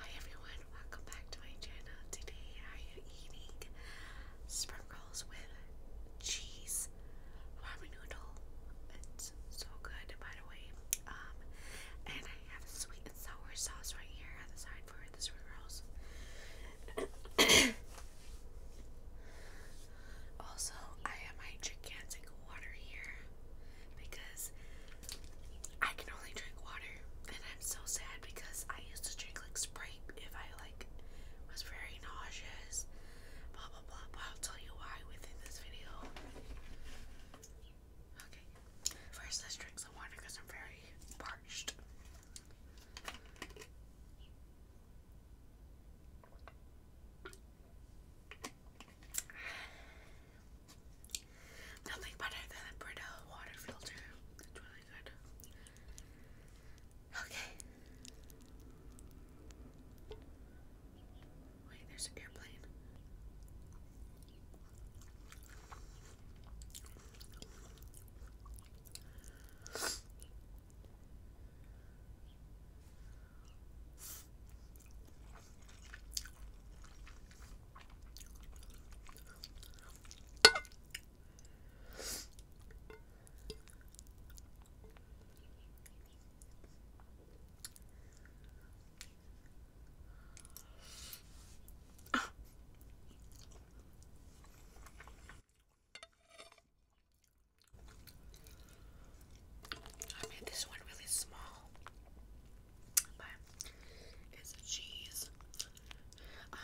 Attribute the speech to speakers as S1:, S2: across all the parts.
S1: Hi everyone, welcome back to my channel. Today I am eating sprinkles with cheese ramen noodle. It's so good by the way. Um, and I have a sweet and sour sauce right here on the side for the sprinkles. also, I have my gigantic water here because I can only drink water, and I'm so sad because I used to drink like Sprite if I like was very nauseous. Blah blah blah. But I'll tell you why within this video. Okay, first let's drink some water because I'm very parched. Nothing better than Brita water filter. That's really good. Okay. Wait, there's an airplane. I made this one really small it's a cheese. Uh,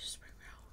S1: spring roll.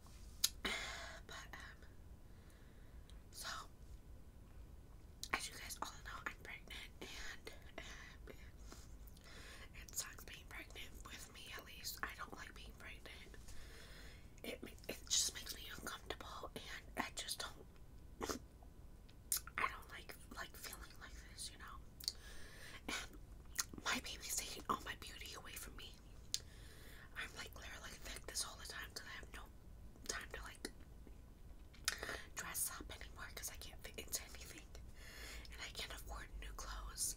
S1: but um so as you guys all know I'm pregnant and um, it sucks being pregnant with me at least I don't like being pregnant it it just makes me uncomfortable and I just don't I don't like like feeling like this you know and my baby's taking all my beauty away from me I'm like literally thick this all the time because I have no time to like dress up anymore because I can't fit into anything and I can't afford new clothes.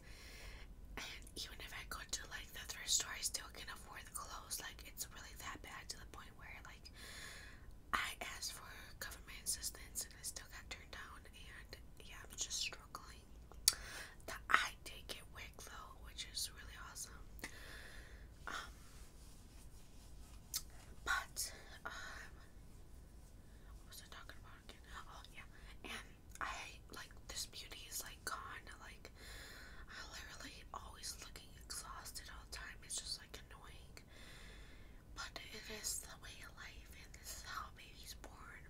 S1: And even if I go to like the thrift store, I still can't afford the clothes. Like it's really that bad to the point where like I asked for government assistance and I still got turned down. And yeah, I'm just struggling point. I did get wig though, which is really awesome. Um, but um, what was I talking about again? Oh yeah, and I like this beauty is like gone. Like I literally always looking exhausted all time. It's just like annoying. But it is the way of life, and how baby's born.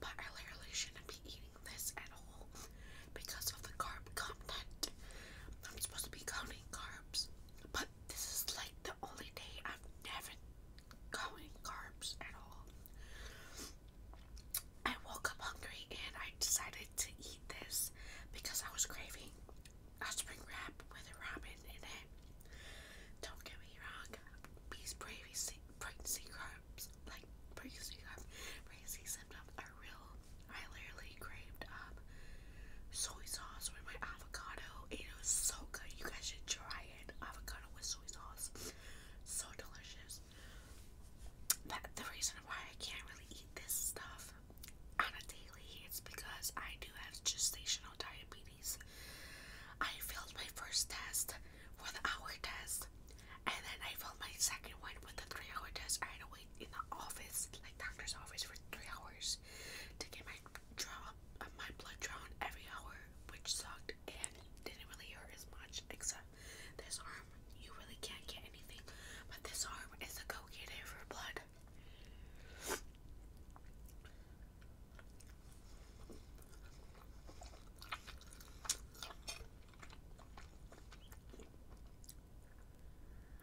S1: But I literally shouldn't be eating this at all because of the carb content. I'm supposed to be counting carbs, but this is like the only day I've never counted carbs at all. I woke up hungry and I decided to eat this because I was craving a spring wrap with a ramen in it. Don't get me wrong, these pregnancy, pregnancy carbs, like pregnancy carbs, pregnancy symptoms are real. I literally craved up um, soy sauce with my avocado. It was so good. You guys should try it. Avocado with soy sauce. So delicious. That the reason why I can't really eat this stuff on a daily is because I do have gestational diabetes. I failed my first test for the hour test, and then I failed my second one with the three hour test. I had in the office, like doctor's office, for three hours to get my draw, uh, my blood drawn every hour, which sucked and didn't really hurt as much. Except this arm, you really can't get anything, but this arm is a go-getter for blood.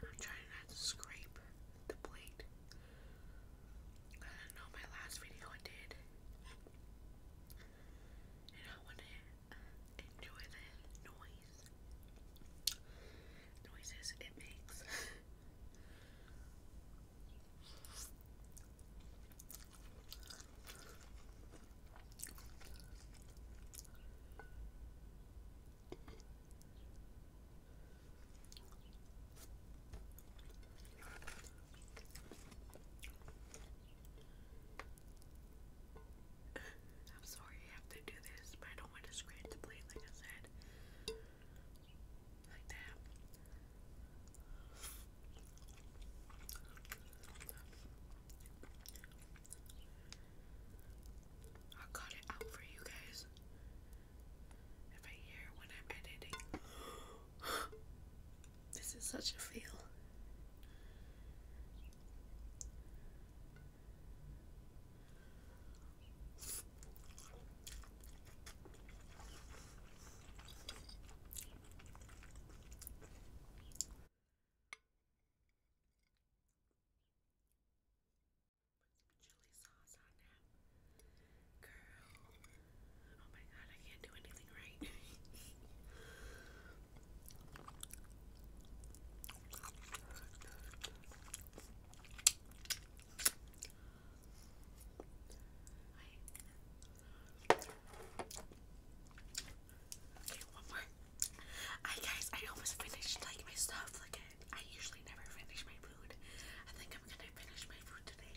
S1: I'm trying not to scrape the plate. I know my last video I did. And I want to enjoy the noise. Noises it makes. I'm sorry I have to do this, but I don't want to scratch the plate, like I said. Like that. I got it out for you guys. If I hear when I'm editing, this is such a feel. Girl. Oh my god, I can't do anything right. okay, one more. I guys, I almost finished like my stuff. Like I usually never finish my food. I think I'm gonna finish my food today.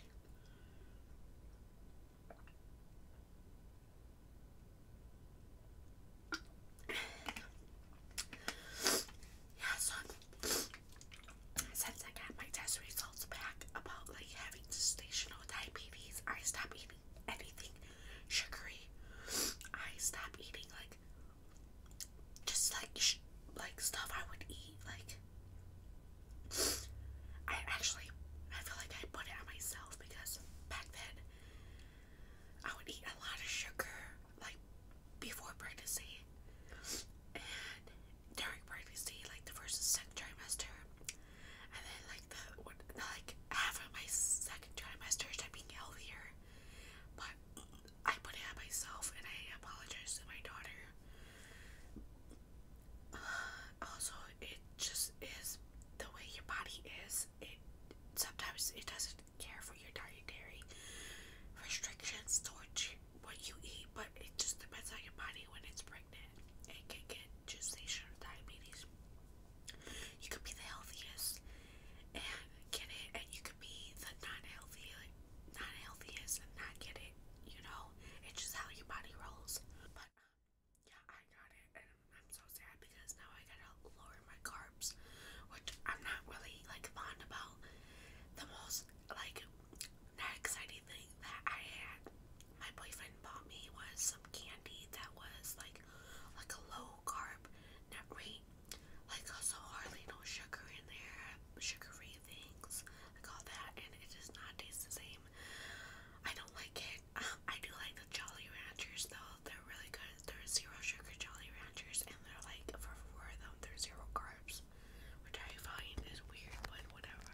S1: yeah, since I got my test results back about like having gestational diabetes, I stopped eating anything sugary. I stopped eating like just like sh like stuff I would eat. Like I actually I feel like I put it on myself because back then I would eat a lot of sugar like before pregnancy and during pregnancy, like the first and second trimester, and then like the like half of my second trimester started being healthier, but I put it on myself, and I apologize to my daughter. Uh, also, it just is the way your body is. It sometimes it doesn't care for your dietary restrictions towards what you eat, but it just depends on your body when it's pregnant. It can get gestational diabetes. You could be the healthiest and get it, and you could be the not healthy, not healthiest, and not get it. You know, it's just how your body rolls. But um, yeah, I got it, and I'm so sad because now I gotta lower my carbs, which I'm not really like fond about. The most like that exciting thing that I had, my boyfriend bought me was some candy that was like like a low carb nut like also uh, hardly no sugar in there, sugary things, like all that, and it does not taste the same. I don't like it. Um, I do like the Jolly Ranchers though; they're really good. They're zero sugar Jolly Ranchers, and they're like for four of them, they're zero carbs, which I find is weird, but whatever.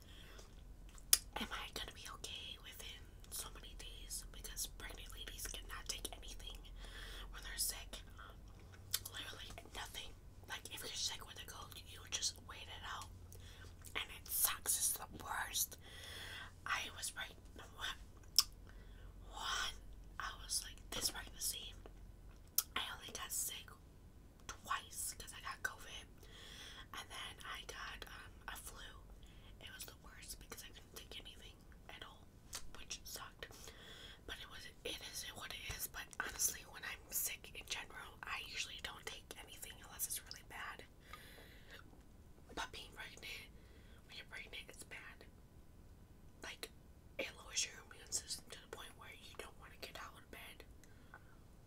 S1: Am I gonna be okay within so many days? Because pregnant ladies cannot take anything when they're sick. Literally nothing. Like if you're sick with a cold, you just wait it out. And it sucks. It's the worst. I was pregnant. One, I was like this pregnancy. I only got sick twice because I got COVID and then I got um, a flu. It was the worst because I couldn't take anything at all, which sucked. But it was it is what it is. But honestly, when I'm sick in general, I usually don't take anything unless it's really bad. But being pregnant, when you're pregnant, it's bad. Like it lowers your immune system to the point where you don't want to get out of bed.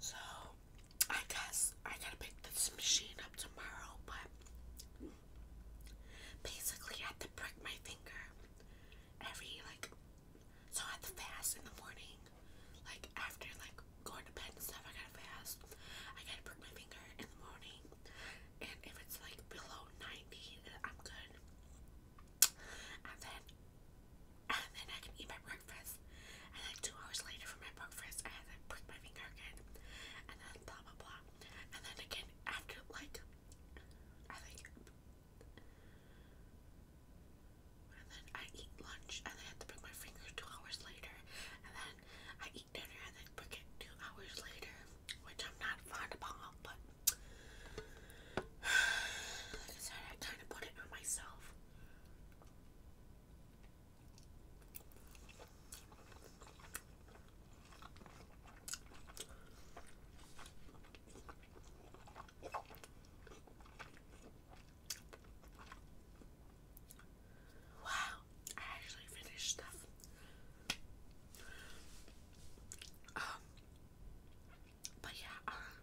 S1: So, I guess I gotta pick this machine up tomorrow, but basically, I have to prick my finger every like so I have to fast in the morning like after like going to bed and stuff, I gotta fast. I gotta prick my finger in the morning, and if it's like below 90, I'm good. And then, and then I can eat my breakfast. And then two hours later for my breakfast, I have to prick my finger again, and then blah blah blah. And then again after like, I think and then I eat lunch and I have to bring my fingers two hours later and then I eat dinner and then bring it two hours later which I'm not fond about but I said I kind of put it on myself Wow, I actually finished stuff. Um, but yeah, uh,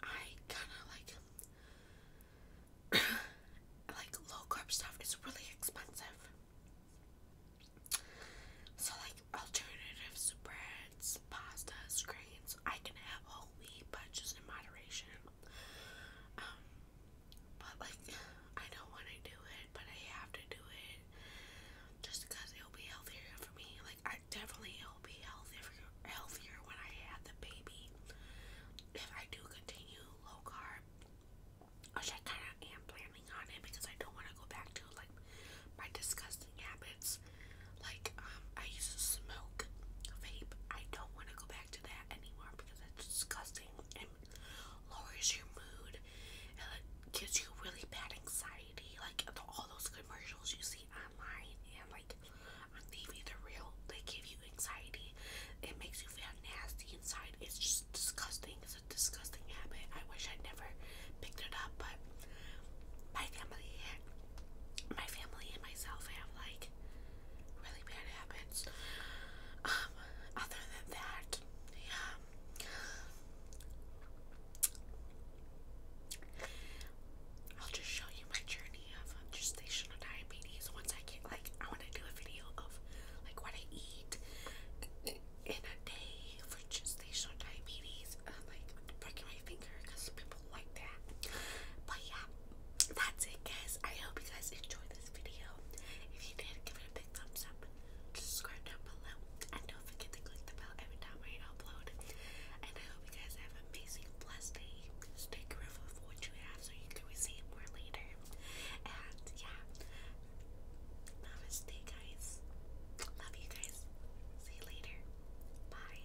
S1: I kind of like like low carb stuff is really expensive. So like alternative spreads, pastas, grains, I can have whole wheat, but just in moderation. Um, but like, I don't want to do it, but I have to do it just because it'll be healthier for me. Like, I definitely it'll be healthier, healthier when I have the baby. If I do continue low carb, which I kind of am planning on it because I don't want to go back to like my disgusting habits. Like, um, I used to smoke, vape. I don't want to go back back that anymore because it's disgusting and lowers your mood and it gives you really bad anxiety. Like all those commercials you see online and like on TV, they're real. They give you anxiety. It makes you feel nasty inside. It's just disgusting. It's a disgusting habit. I wish I never picked it up, but my family, my family and myself have like really bad habits. Um, other than that, yeah. I'll just show you my journey of gestational diabetes once like I want to do a video of like what I eat in a day for gestational diabetes. like breaking my finger because people like that. But yeah, that's it, guys. I hope you guys enjoyed this video. If you did, give it a big thumbs up. Subscribe down below, and don't forget to click the bell every time I upload. And I hope you guys have an amazing, blessed day. a careful of what you have, so you can receive more later. And yeah, namaste, guys. Love you guys. See you later. Bye.